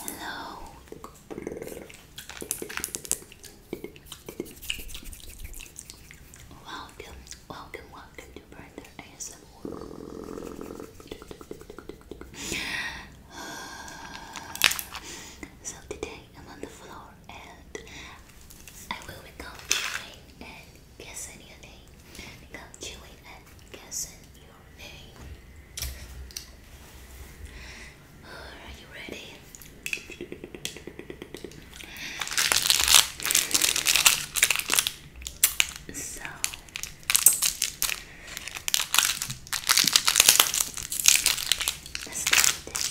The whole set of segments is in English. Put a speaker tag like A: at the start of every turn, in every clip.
A: Hello. Welcome, welcome, welcome to Brother ASMR. so today I'm on the floor and I will be continuing guessing your name. Become chewing and guessing your name. are you ready? so let's do this.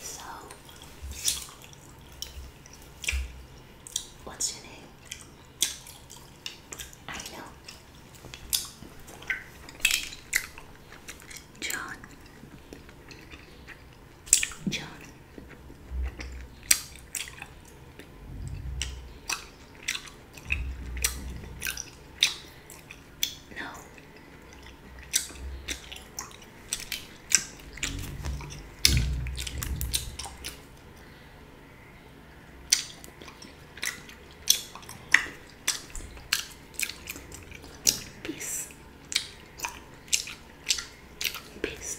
A: So, what's your name? I know. John. John. No.
B: Peace. Peace.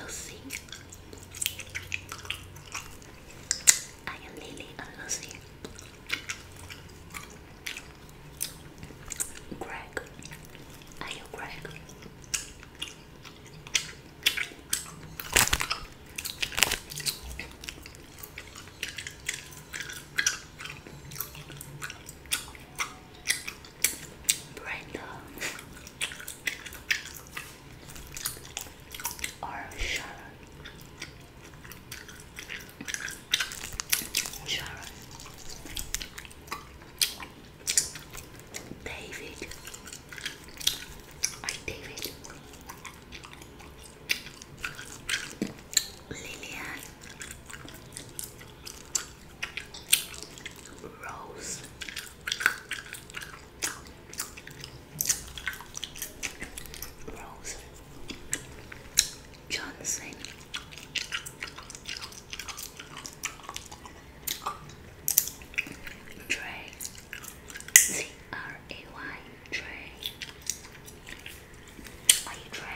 B: Lucy. I am Lily and Lucy. Greg. Are you Greg? Brenda or Sharon. Sharon. David. I David. Lillian. Rose. Rose Johnson Trey C R A Y Trey Are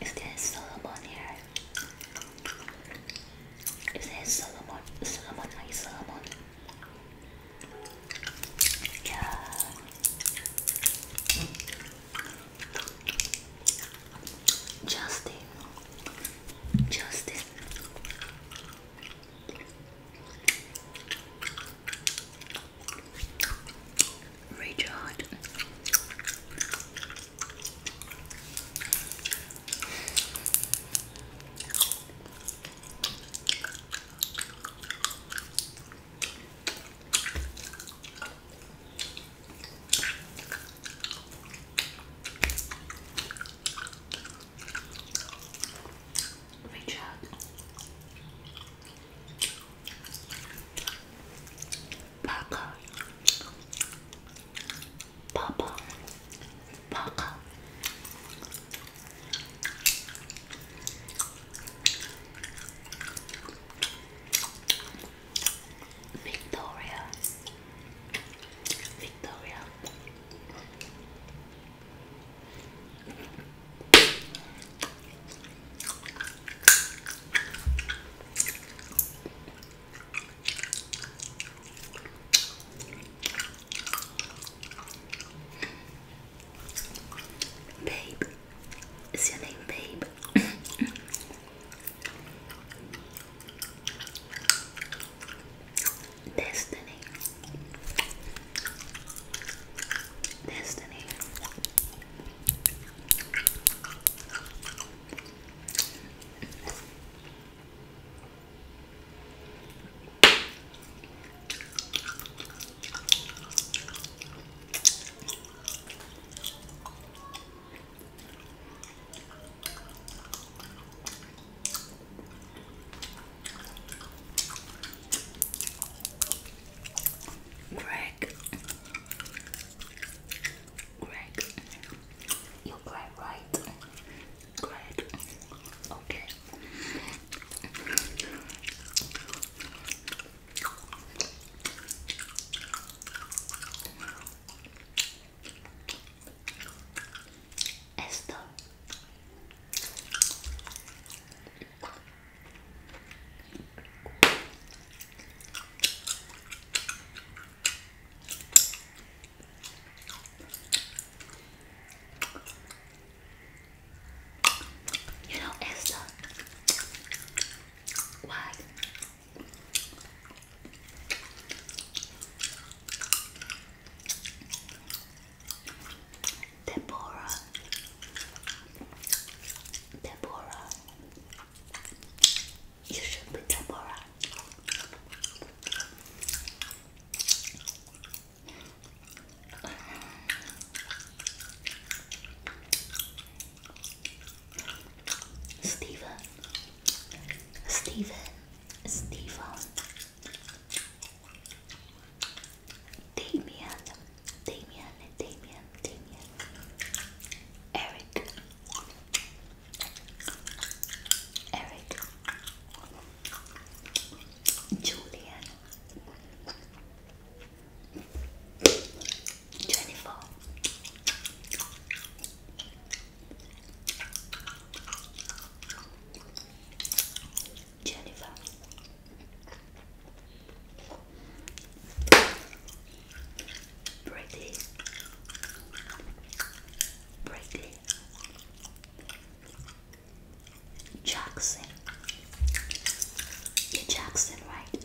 B: is there Solomon here? Is there Solomon? Solomon, my Solomon. Yeah. Justin. Justin. Richard reach out. Papa,
C: Victoria, Victoria, Babe, is your name Babe? Destiny. Destiny. Greg, Greg, you Greg, right? Greg, okay. Esto. You know, Esther, why Deborah, Deborah, you should be Deborah.
B: Stephen, Stephen. Stephen, Damien, Damien, Damien, Damien, Eric, Eric, Julian, Jennifer. Jennifer. Brady. Brady. Jackson. Jackson, right?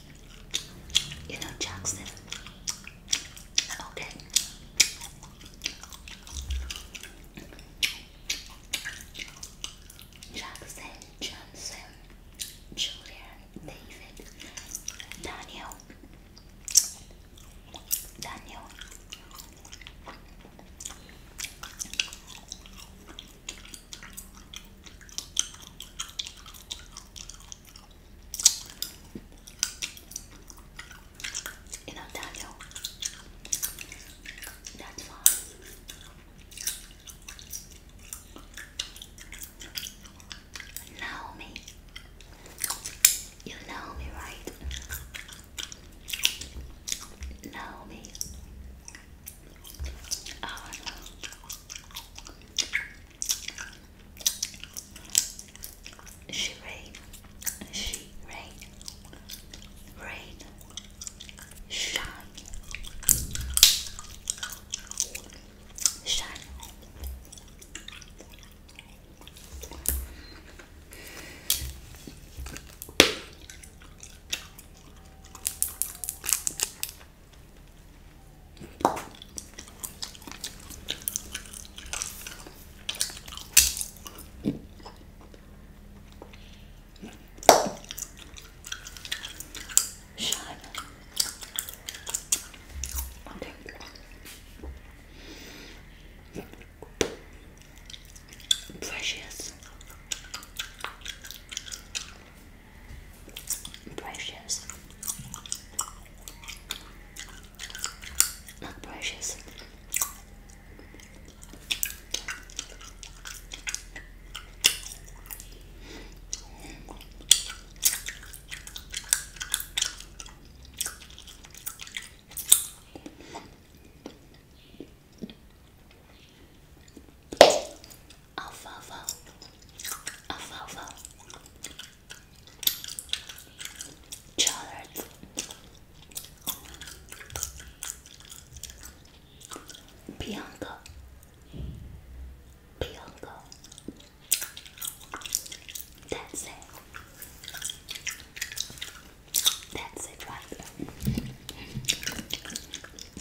D: You know Jackson. Okay. Jackson, Johnson, Julian, David, Daniel, Daniel, in Ontario, that's why know me. You know me, right? Know me. Oh no. She rain, she rain, rain, shine, shine. Shine. Okay. Precious. Precious. Not precious. Alfalfa. Alfalfa. Chard. Bianca. Bianca. That's it. That's it right there.